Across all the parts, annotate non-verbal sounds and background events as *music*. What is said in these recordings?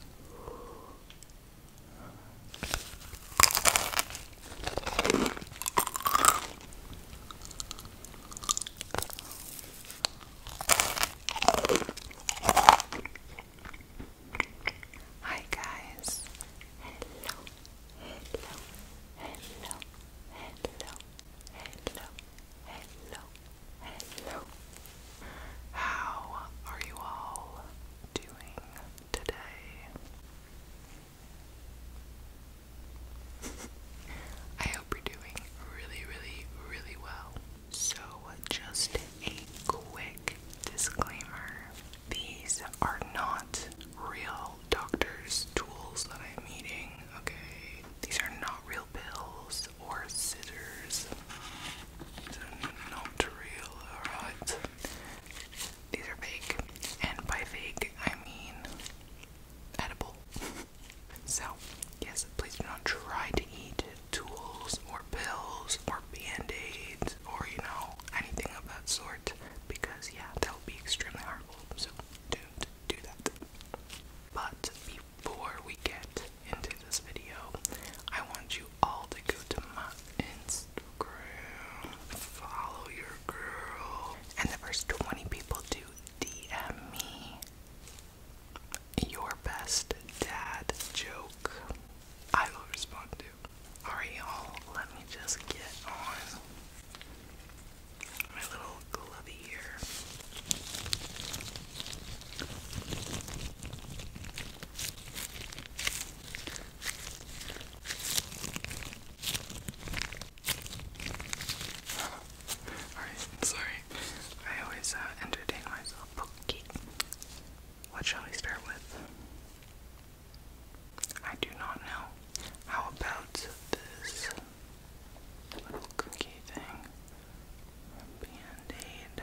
Hi guys. Hello. Hello. Hello. Hello. Hello. Hello. Hello. How are you all doing today? I hope you're doing really, really, really well. So, just a quick disclaimer these are not real doctor's tools that I'm eating, okay? These are not real pills or scissors not real, alright? These are fake, and by fake I mean edible. *laughs* so, yes, please do not try to eat tools or pills or band aids or you know, anything of that sort because, yeah, that would be extremely harmful. So, don't do that. But before we get into this video, I want you all to go to my Instagram, follow your girl, and the first 20 people to DM me your best dad joke. I will respond to. Alright, y'all, let me just get on my little glove here. *laughs* Alright, sorry. I always uh, entertain myself. Okay. What shall we start with? I do not know. How about this little cookie thing? Band-aid.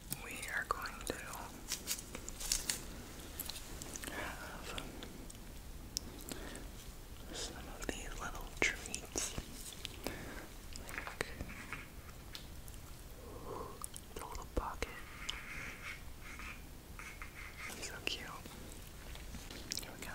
we are going to have some of these little treats. little pocket. So cute. Here we go.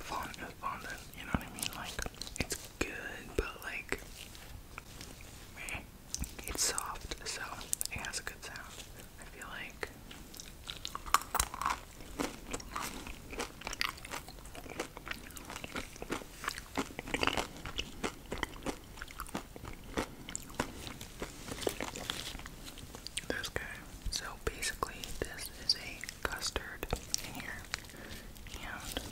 fondant fondant, you know what I mean? Like, it's good, but like, It's soft, so it has a good sound. I feel like. This So basically, this is a custard in here. And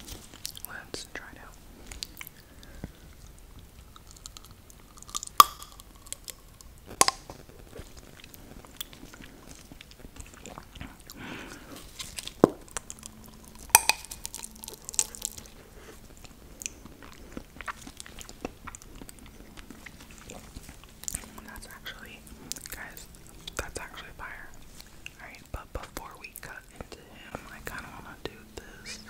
let's try it that's actually, guys, that's actually fire. Alright, but before we cut into him, I kind of want to do this.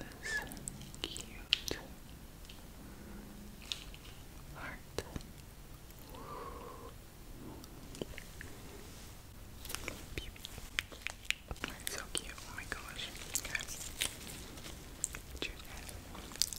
This cute heart. So cute, oh my gosh. Okay.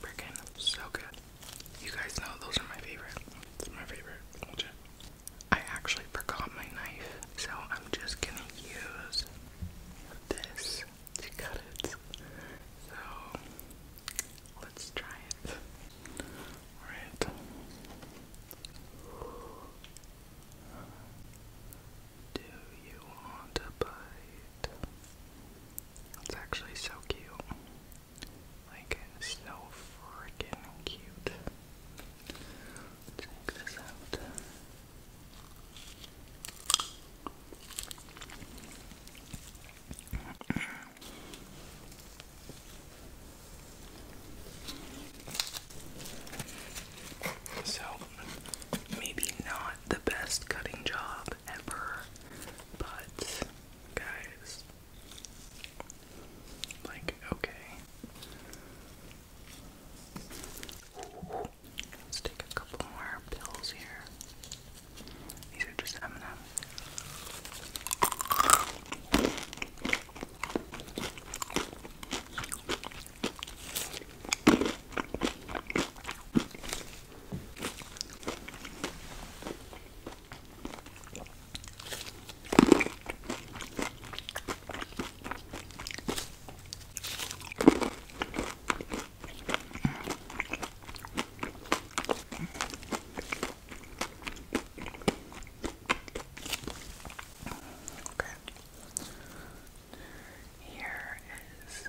Freaking so good. You guys know those are my favorite. It's my favorite. I actually forgot my knife, so I'm just gonna use this to cut it. So let's try it. Alright. Do you want a bite? It's actually so cute. Like, it's so freaking cute. Take this out. So, maybe not the best cutting job ever, but guys, like, okay. let's take a couple more pills here. These are just M&M. Okay. Here is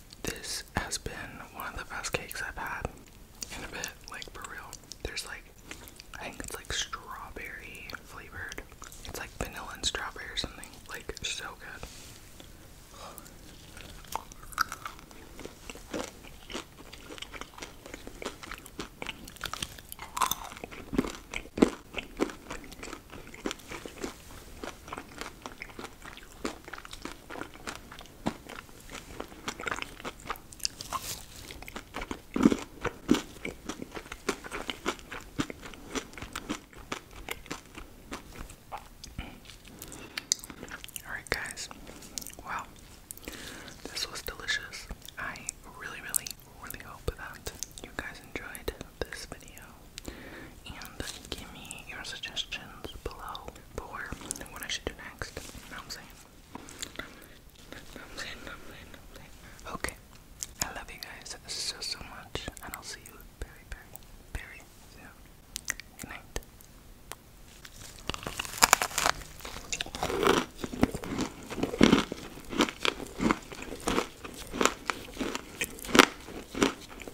This has been one of the best cakes I've had in a bit, like for real. There's like, I think it's like strawberry flavored. It's like vanilla and strawberry or something. Like, so good. Alright, guys. Wow. This was delicious. I really, really, really hope that you guys enjoyed this video. And give me your suggestions below for what I should do next. Know what I'm saying? I'm saying, I'm saying, I'm saying. Okay. I love you guys so, so much. And I'll see you very, very, very soon. Good night.